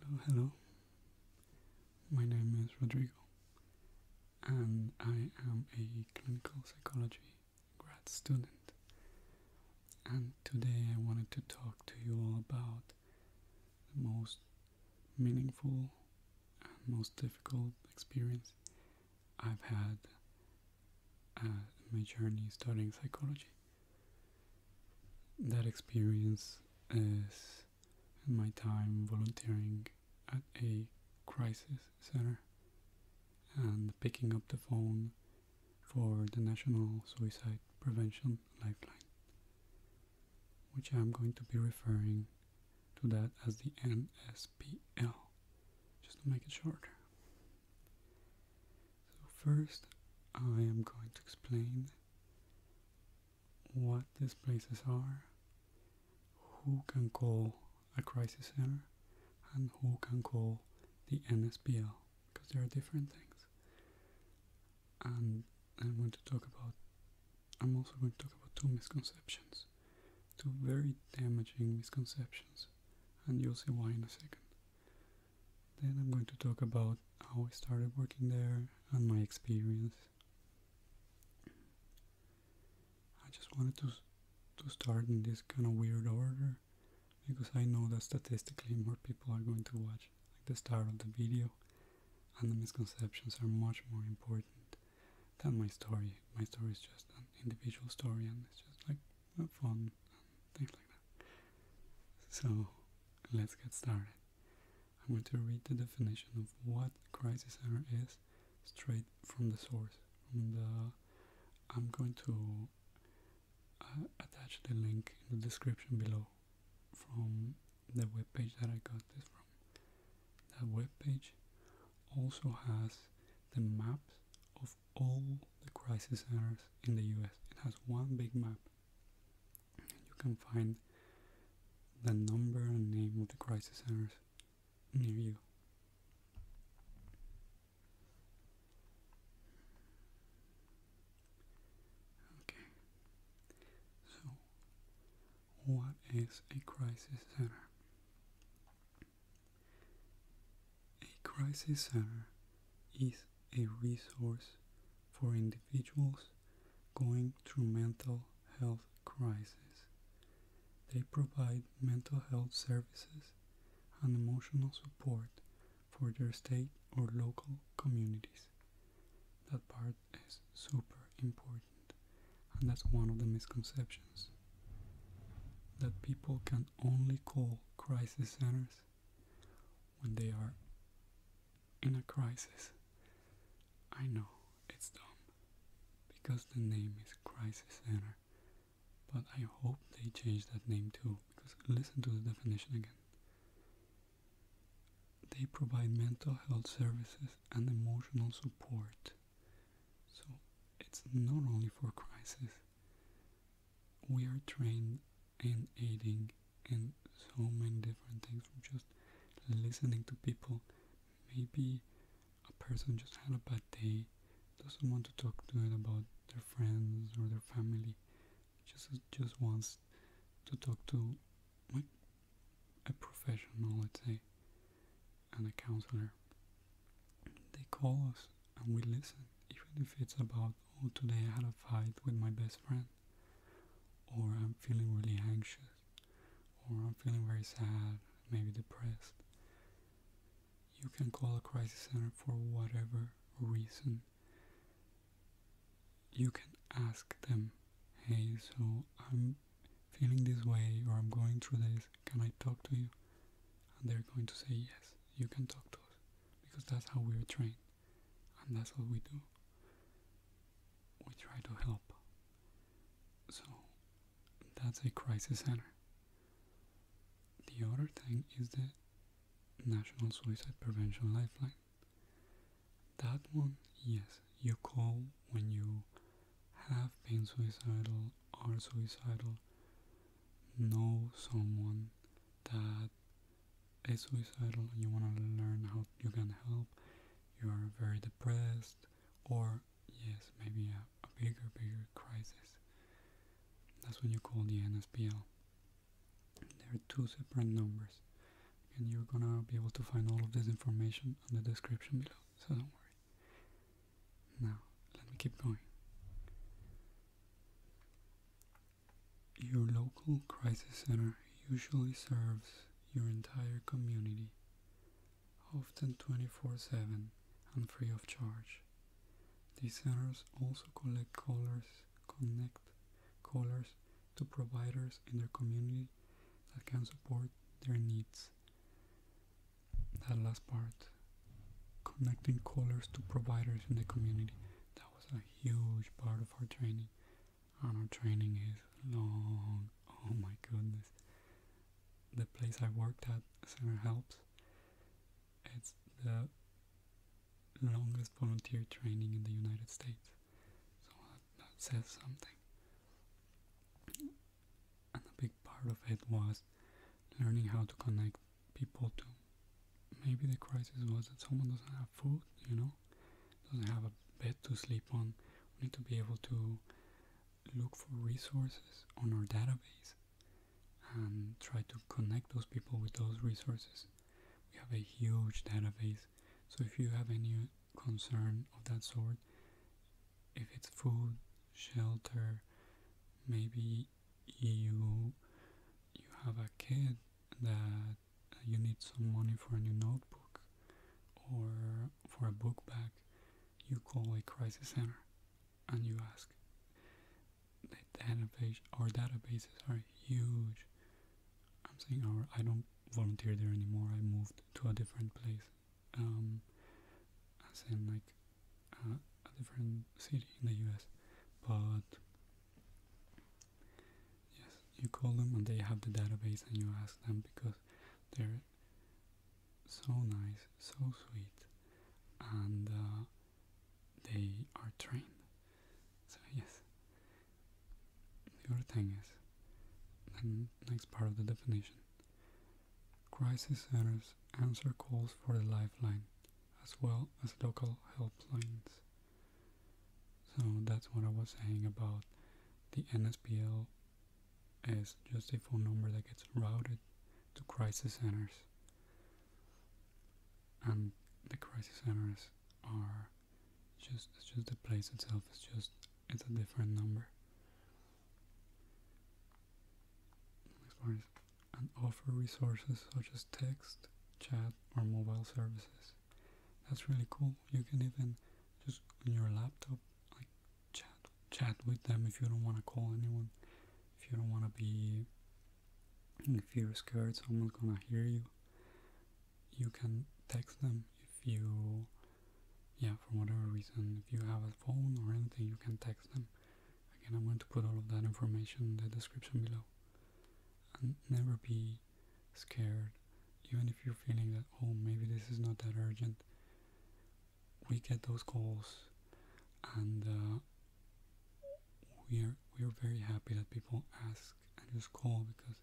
Hello, hello. My name is Rodrigo, and I am a clinical psychology grad student. And today I wanted to talk to you all about the most meaningful and most difficult experience I've had uh, in my journey studying psychology that experience is my time volunteering at a crisis center and picking up the phone for the National Suicide Prevention Lifeline, which I'm going to be referring to that as the NSPL, just to make it shorter. So first I am going to explain what these places are, who can call a crisis center, and who can call the NSPL, because there are different things. And I'm going to talk about, I'm also going to talk about two misconceptions, two very damaging misconceptions, and you'll see why in a second. Then I'm going to talk about how I started working there and my experience. I just wanted to, to start in this kind of weird order because I know that statistically more people are going to watch like the start of the video and the misconceptions are much more important than my story. My story is just an individual story and it's just like fun things like that. So let's get started. I'm going to read the definition of what crisis error is straight from the source. From uh, I'm going to uh, attach the link in the description below from the webpage that I got this from. That webpage also has the maps of all the crisis centers in the US. It has one big map. You can find the number and name of the crisis centers near you. Okay, so what is a crisis center? A crisis center is a resource for individuals going through mental health crisis. They provide mental health services and emotional support for their state or local communities. That part is super important, and that's one of the misconceptions that people can only call crisis centers when they are in a crisis. I know it's dumb because the name is Crisis Center, but I hope they change that name too because listen to the definition again. They provide mental health services and emotional support. So it's not only for crisis, we are trained in aiding in so many different things from just listening to people. Maybe a person just had a bad day, doesn't want to talk to it about their friends or their family, just just wants to talk to a professional, let's say, and a counselor. They call us and we listen, even if it's about, oh, today I had a fight with my best friend, or I'm feeling really anxious, or I'm feeling very sad, maybe depressed. You can call a crisis center for whatever reason. You can ask them, hey, so I'm feeling this way or I'm going through this, can I talk to you? And they're going to say yes, you can talk to us because that's how we are trained and that's what we do. We try to help. So that's a crisis center. The other thing is the National Suicide Prevention Lifeline. That one, yes, you call when you have been suicidal, or suicidal, know someone that is suicidal, you want to learn how you can help, you are very depressed, or yes, maybe a, bigger, bigger crisis. That's when you call the NSPL. There are two separate numbers, and you're gonna be able to find all of this information in the description below, so don't worry. Now, let me keep going. Your local crisis center usually serves your entire community, often 24 7 and free of charge. These centers also collect callers, connect callers to providers in their community that can support their needs. That last part, connecting callers to providers in the community, was a huge part of our training. And our training is long. Oh my goodness. The place I worked at, Center Helps, it's the longest volunteer training in the United States. So that, says something. And a big part of it was learning how to connect people to Maybe the crisis was that someone doesn't have food, you know, doesn't have a bed to sleep on. We need to be able to look for resources on our database and try to connect those people with those resources. We have a huge database, so if you have any concern of that sort, if it's food, shelter, maybe you you have a kid that you need some money for a new notebook or for a book bag, you call a crisis center and you ask. The database, our databases are huge. I'm saying our, I don't volunteer there anymore. I moved to a different place, um, as in like uh, a different city in the U.S. But Yes, you call them and they have the database and you ask them because they're so nice, so sweet, and uh, they are trained. So, yes. your thing is, the next part of the definition crisis centers answer calls for the lifeline as well as local helplines. So that's what I was saying about the NSPL is just a phone number that gets routed to crisis centers. And the crisis centers are just just the place itself It's just it's a different number and offer resources such as text, chat, or mobile services. That's really cool. You can even just on your laptop, like chat, chat with them if you don't want to call anyone, if you don't want to be, if you're scared someone's gonna hear you. You can text them if you, yeah, for whatever reason, if you have a phone or anything, you can text them Again, I'm going to put all of that information in the description below. And never be scared, even if you're feeling that, oh, maybe this is not that urgent. We get those calls, and uh, we're we're very happy that people ask and just call because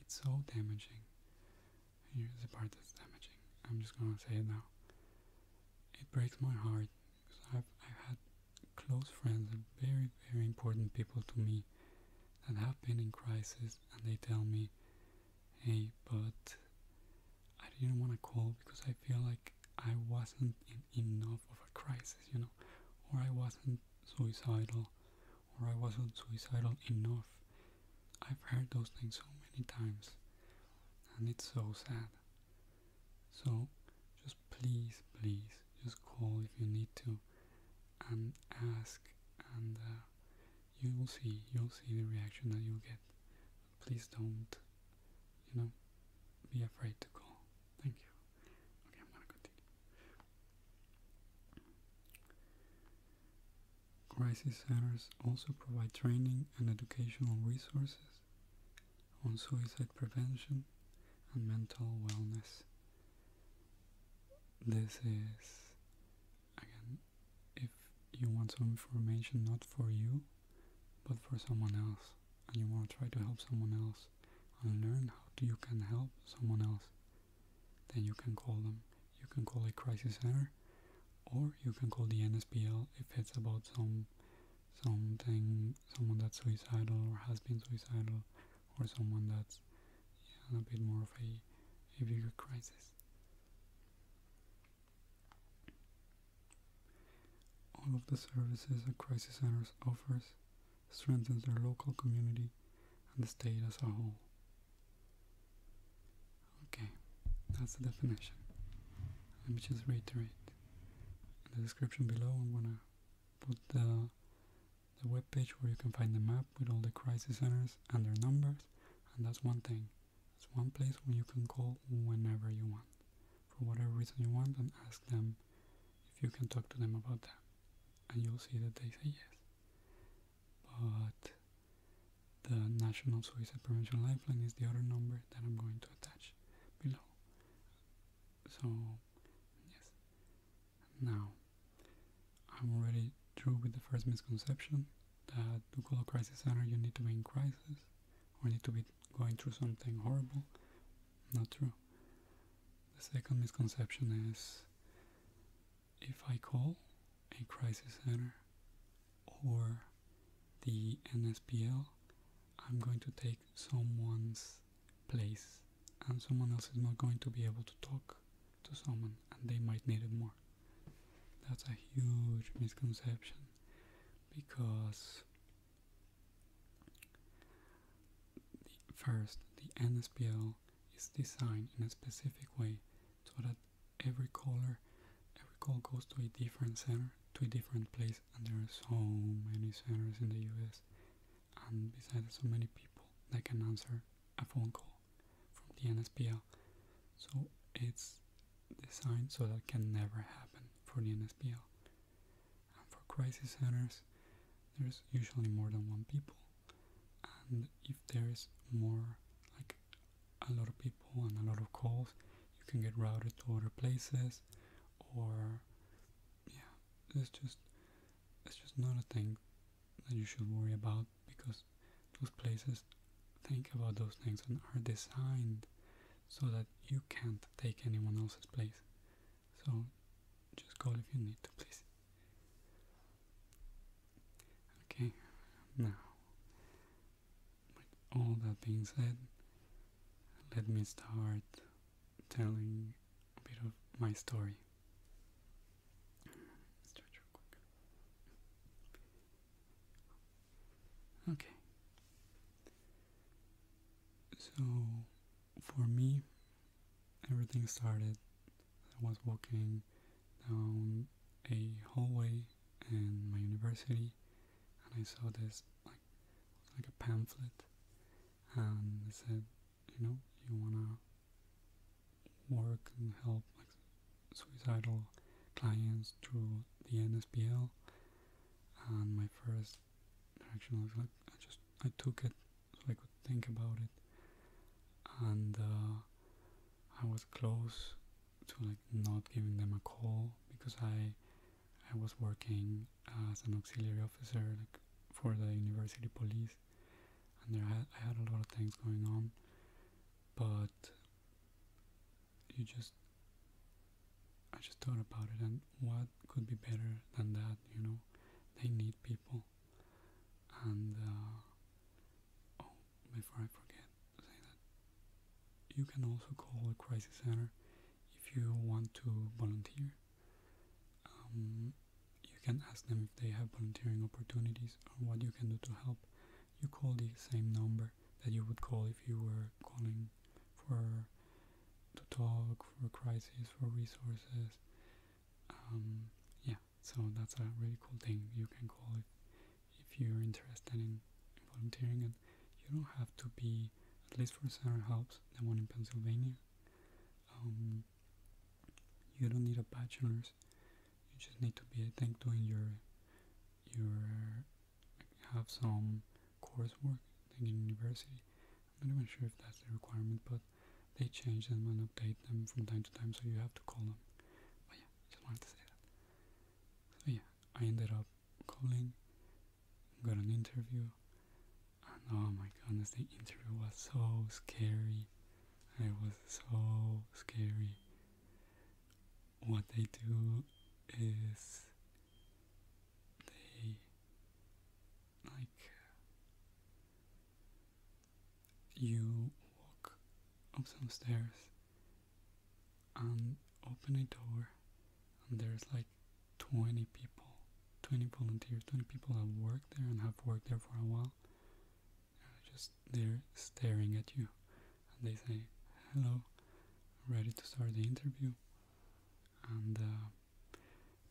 it's so damaging. Here's the part that's damaging. I'm just gonna say it now. It breaks my heart because I've, i had close friends and very, very important people to me that have been in crisis and they tell me, hey, but I didn't want to call because I feel like I wasn't enough of a crisis, you know, or I wasn't suicidal, or I wasn't suicidal enough. I've heard those things so many times, and it's so sad. So just please, please, just call if you need to and ask, and uh, you will see, you'll see the reaction that you'll get. please don't, you know, be afraid to call. Thank you. Okay, I'm gonna continue. Crisis centers also provide training and educational resources on suicide prevention and mental wellness. This is, again, if you want some information not for you, but for someone else, and you want to try to help someone else and learn how you can help someone else, then you can call them. You can call a crisis center, or you can call the NSPL if it's about some something someone that's suicidal or has been suicidal or someone that's yeah, a bit more of a, a bigger crisis all of the services a crisis center offers strengthens their local community and the state as a whole okay that's the definition let me just reiterate in the description below i'm to put the, the web page where you can find the map with all the crisis centers and their numbers, and that's one thing. It's one place where you can call whenever you want, for whatever reason you want, and ask them if you can talk to them about that, and you'll see that they say yes. But the National Suicide Prevention Lifeline is the other number that I'm going to attach below. So, yes. Now, I'm already through with the first misconception that to call a crisis center you need to be in crisis or need to be going through something horrible. Not true. The second misconception is if I call a crisis center or the NSPL, I'm going to take someone's place and someone else is not going to be able to talk to someone and they might need it more. That's a huge misconception because first the NSPL is designed in a specific way so that every caller every call goes to a different center to a different place and there are so many centers in the US and besides so many people that can answer a phone call from the NSPL. So it's designed so that can never happen for the NSPL. And for crisis centers, there's usually more than one people. And if there's more, like a lot of people and a lot of calls, you can get routed to other places or yeah, it's just it's just not a thing that you should worry about because those places think about those things and are designed so that you can't take anyone else's place. So just go if you need to, please. Okay, now, all that being said, let me start telling a bit of my story. Okay. So, for me, everything started. I was walking down a hallway in my university and I saw this like like a pamphlet and they said, you know, you wanna work and help like suicidal clients through the NSPL and my first reaction was like I just I took it so I could think about it and uh, I was close to like not giving them a call because I I was working as an auxiliary officer like, for the university police, and there I had a lot of things going on, but you just I just thought about it and what could be better than that, you know? They need people. And, uh, oh, before I forget, you can also call the crisis center if you want to volunteer. Um, you can ask them if they have volunteering opportunities or what you can do to help. You call the same number that you would call if you were calling for to talk for crisis for resources. Um, yeah, so that's a really cool thing you can call it if you're interested in volunteering you don't have to be at least for Sarah Hobbs, the one in Pennsylvania. Um, you don't need a bachelor's. You just need to be, I think, doing your your have some coursework in university. I'm not even sure if that's the requirement, but they change them and update them from time to time, so you have to call them. But yeah, just wanted to say that. So yeah, I ended up calling, got an interview, and oh my goodness, the interview was so scary. It was so scary. What they do is they like you walk up some stairs and open a door and there's like 20 people, 20 volunteers, 20 people have worked there and have worked there for a while. They're just there staring at you and they say, hello, ready to start the interview. And uh,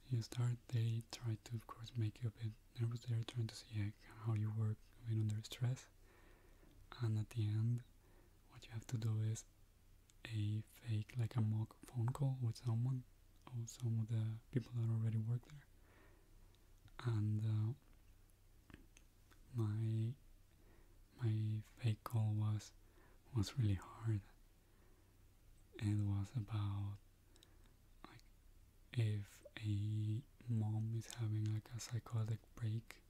you start, they try to, of course, make you a bit nervous. They're trying to see how you work when under stress. And at the end, what you have to do is a fake, like a mock phone call with someone or some of the people that already work there. And uh, my my fake call was was really hard. It was about like if a mom is having like a psychotic break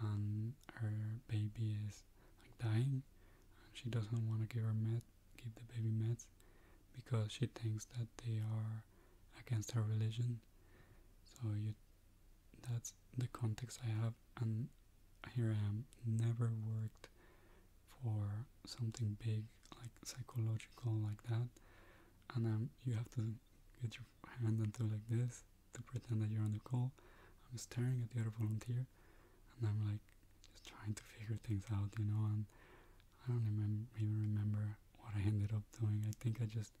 and her baby is like dying and she doesn't want to give her meds, give the baby meds because she thinks that they are against her religion so you that's the context I have and here I am never worked for something big like psychological like that and um, you have to get your hand into like this to pretend that you're on the call. I'm staring at the other volunteer and I'm like just trying to figure things out, you know, and I don't even remember what I ended up doing. I think I just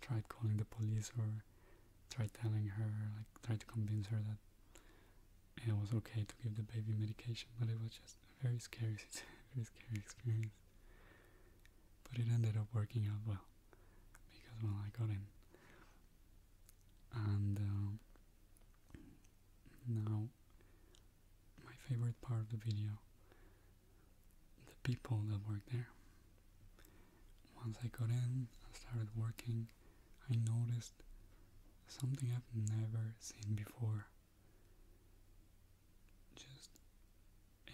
tried calling the police or tried telling her, like tried to convince her that it was okay to give the baby medication, but it was just a very scary, very scary experience. But it ended up working out well because when I got in and um, now my favorite part of the video the people that work there once I got in and started working I noticed something I've never seen before just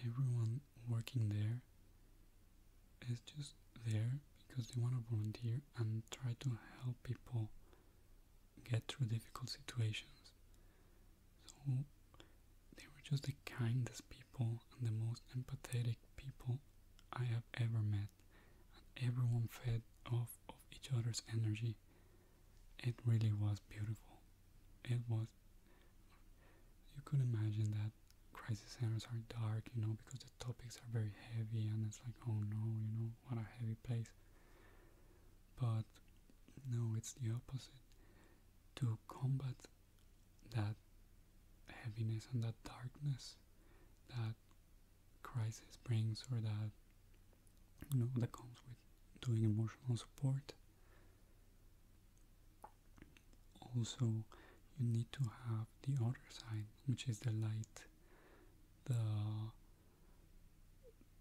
everyone working there it's just there because they want to volunteer and try to help people get through difficult situations. So they were just the kindest people and the most empathetic people I have ever met. And everyone fed off of each other's energy. It really was beautiful. It was. You could imagine that crisis centers are dark, you know, because topics are very heavy and it's like oh no you know what a heavy place but no it's the opposite to combat that heaviness and that darkness that crisis brings or that you know that comes with doing emotional support also you need to have the other side which is the light, the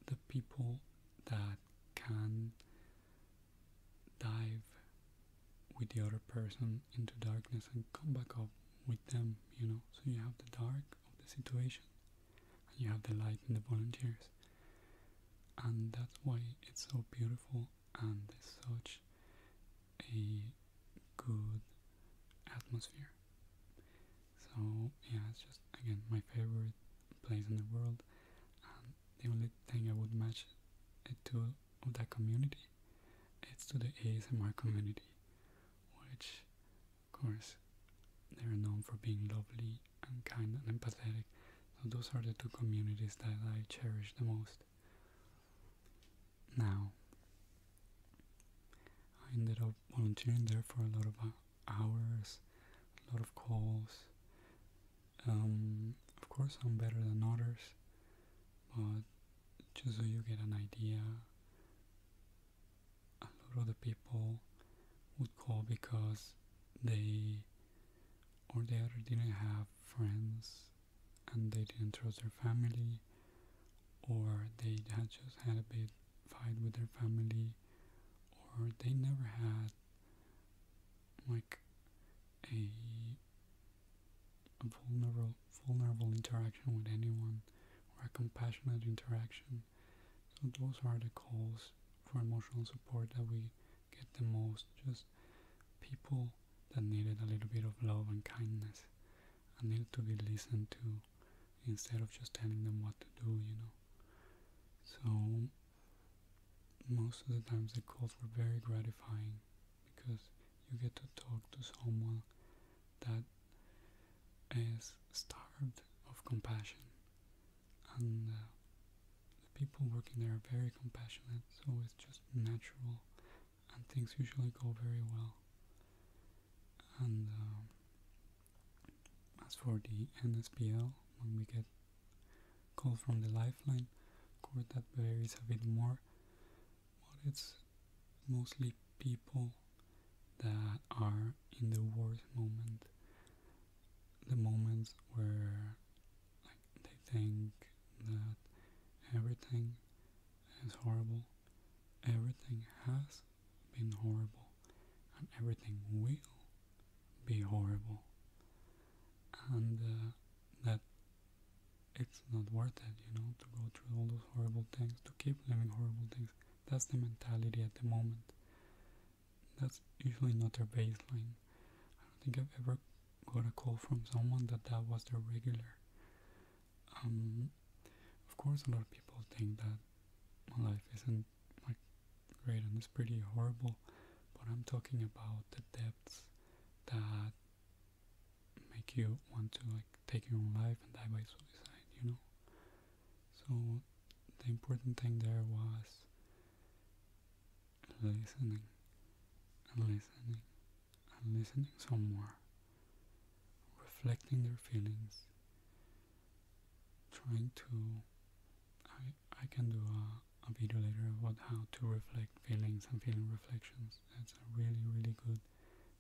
the people that can dive with the other person into darkness and come back up with them, you know. So you have the dark of the situation and you have the light in the volunteers. And that's why it's so beautiful and there's such a good atmosphere. So yeah, it's just again my favorite place in the world, and the only thing I would match it to of that community, it's to the ASMR community, which, of course, they are known for being lovely and kind and empathetic. So those are the two communities that I cherish the most now. I ended up volunteering there for a lot of uh, hours, a lot of calls. Um, of course, I'm better than others, but just so you get an idea, a lot of the people would call because they or the other didn't have friends and they didn't trust their family or they had just had a big fight with their family or they never had like a, a vulnerable vulnerable interaction with anyone or a compassionate interaction so those are the calls for emotional support that we get the most just people that needed a little bit of love and kindness and need to be listened to instead of just telling them what to do, you know. So most of the times the calls were very gratifying because you get to talk to someone that is starved of compassion and uh, the people working there are very compassionate so it's just natural and things usually go very well. And um, as for the NSPL, when we get call from the lifeline, of that varies a bit more, but it's mostly people that are in the worst moment, the moments where they think that everything it's horrible. Everything has been horrible, and everything will be horrible. And uh, that it's not worth it, you know, to go through all those horrible things, to keep living horrible things. That's the mentality at the moment. That's usually not their baseline. I don't think I've ever got a call from someone that that was their regular. Um, of course, a lot of people think that my life isn't like great and it's pretty horrible, but I'm talking about the depths that make you want to like take your own life and die by suicide, you know. So the important thing there was listening and listening and listening somewhere, reflecting their feelings, trying to. I, I can do a, a video later about how to reflect feelings and feeling reflections. That's a really, really good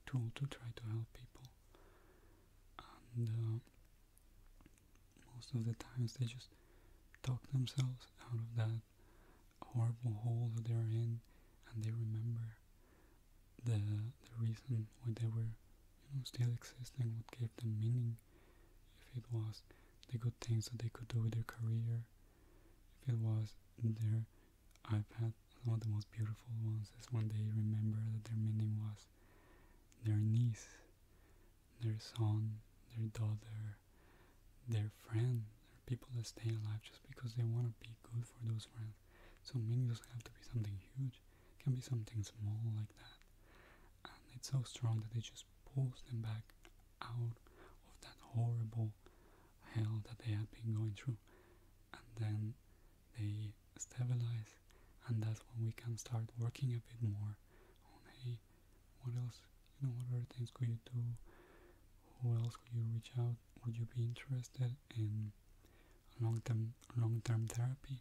tool to try to help people. And uh, most of the times they just talk themselves out of that horrible hole that they're in and they remember the the reason why they were still existing what gave them meaning if it was the good things that they could do with their career if it was their iPad one of the most beautiful ones is when they remember that their meaning was their niece their son their daughter their friend people that stay alive just because they want to be good for those friends. So many doesn't have to be something huge. It can be something small like that. And it's so strong that it just pulls them back out of that horrible hell that they had been going through. And then they stabilize and that's when we can start working a bit more on hey what else you know what other things could you do who else could you reach out? Would you be interested in long-term long-term therapy?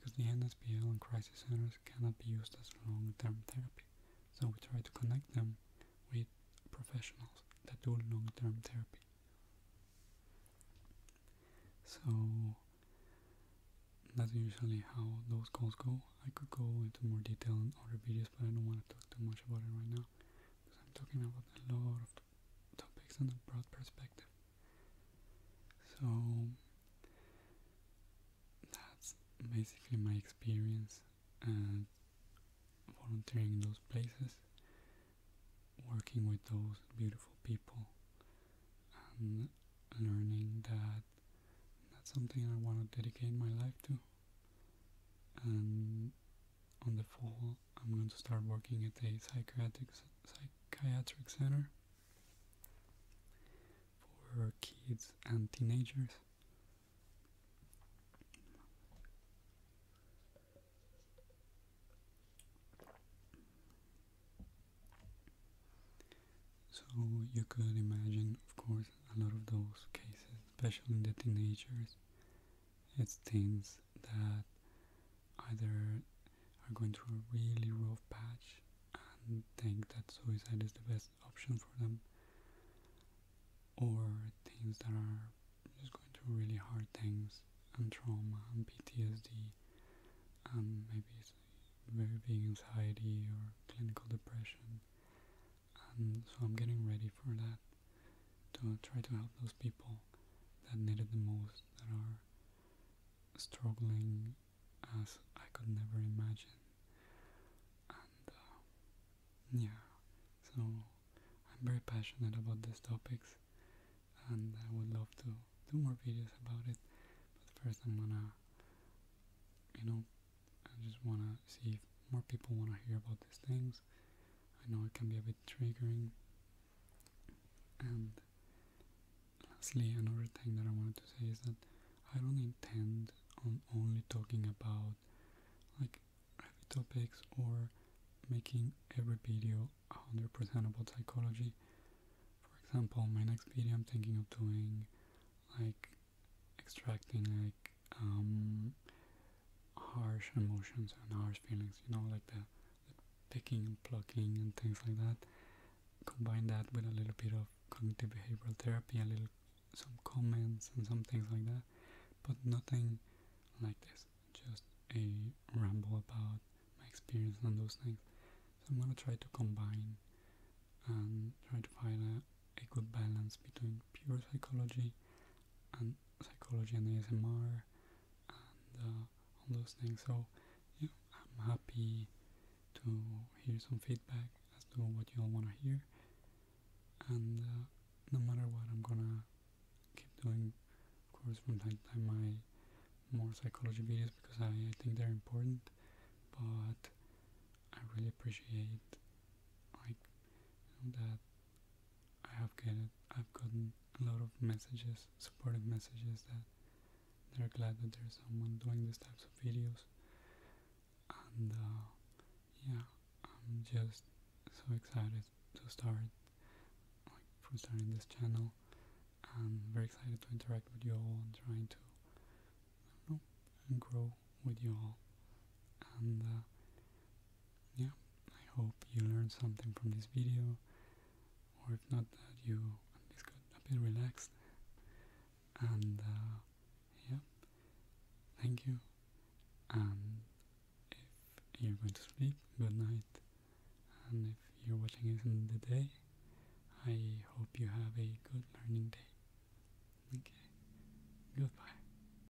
Because the NSPL and crisis centers cannot be used as long-term therapy, so we try to connect them with professionals that do long-term therapy. So that's usually how those calls go. I could go into more detail in other videos, but I don't want to talk too much about it right now because I'm talking about a lot of topics on a broad perspective. So that's basically my experience at uh, volunteering in those places, working with those beautiful people, and learning that that's something I want to dedicate my life to. And on the fall, I'm going to start working at a psychiatric psychiatric center for kids and teenagers. So you could imagine, of course, a lot of those cases, especially the teenagers, it's things that either are going through a really rough patch and think that suicide is the best option for them, or things that are just going through really hard things and trauma and PTSD and maybe very big anxiety or clinical depression. And so I'm getting ready for that to try to help those people that need it the most, that are struggling as I could never imagine. And uh, yeah, so I'm very passionate about these topics and I would love to do more videos about it. But first I'm gonna, you know, I just wanna see if more people wanna hear about these things I know it can be a bit triggering. And lastly, another thing that I wanted to say is that I don't intend on only talking about like heavy topics or making every video a 100% about psychology. For example, my next video I'm thinking of doing like extracting like um, harsh emotions and harsh feelings, you know, like the, picking and plucking and things like that. Combine that with a little bit of cognitive behavioral therapy, a little some comments and some things like that, but nothing like this, just a ramble about my experience on those things. So I'm gonna try to combine and try to find a good balance between pure psychology and psychology and ASMR and uh, all those things. So I'm happy to hear some feedback as to what you all want to hear. And uh, no matter what, I'm gonna keep doing, of course, from time to time my more psychology videos because I, think they're important. But I really appreciate like that I have gotten I've gotten a lot of messages, supportive messages that they're glad that there's someone doing these types of videos, and uh, yeah, I'm just so excited to start like from starting this channel. I'm very excited to interact with you all and trying to grow with you all, uh, yeah, I hope you learned something from this video, or if not, that you at least got a bit relaxed. And uh, yeah, thank you. And if you're going to sleep, good night. And if you're watching this in the day, I hope you have a good learning day. Okay, goodbye.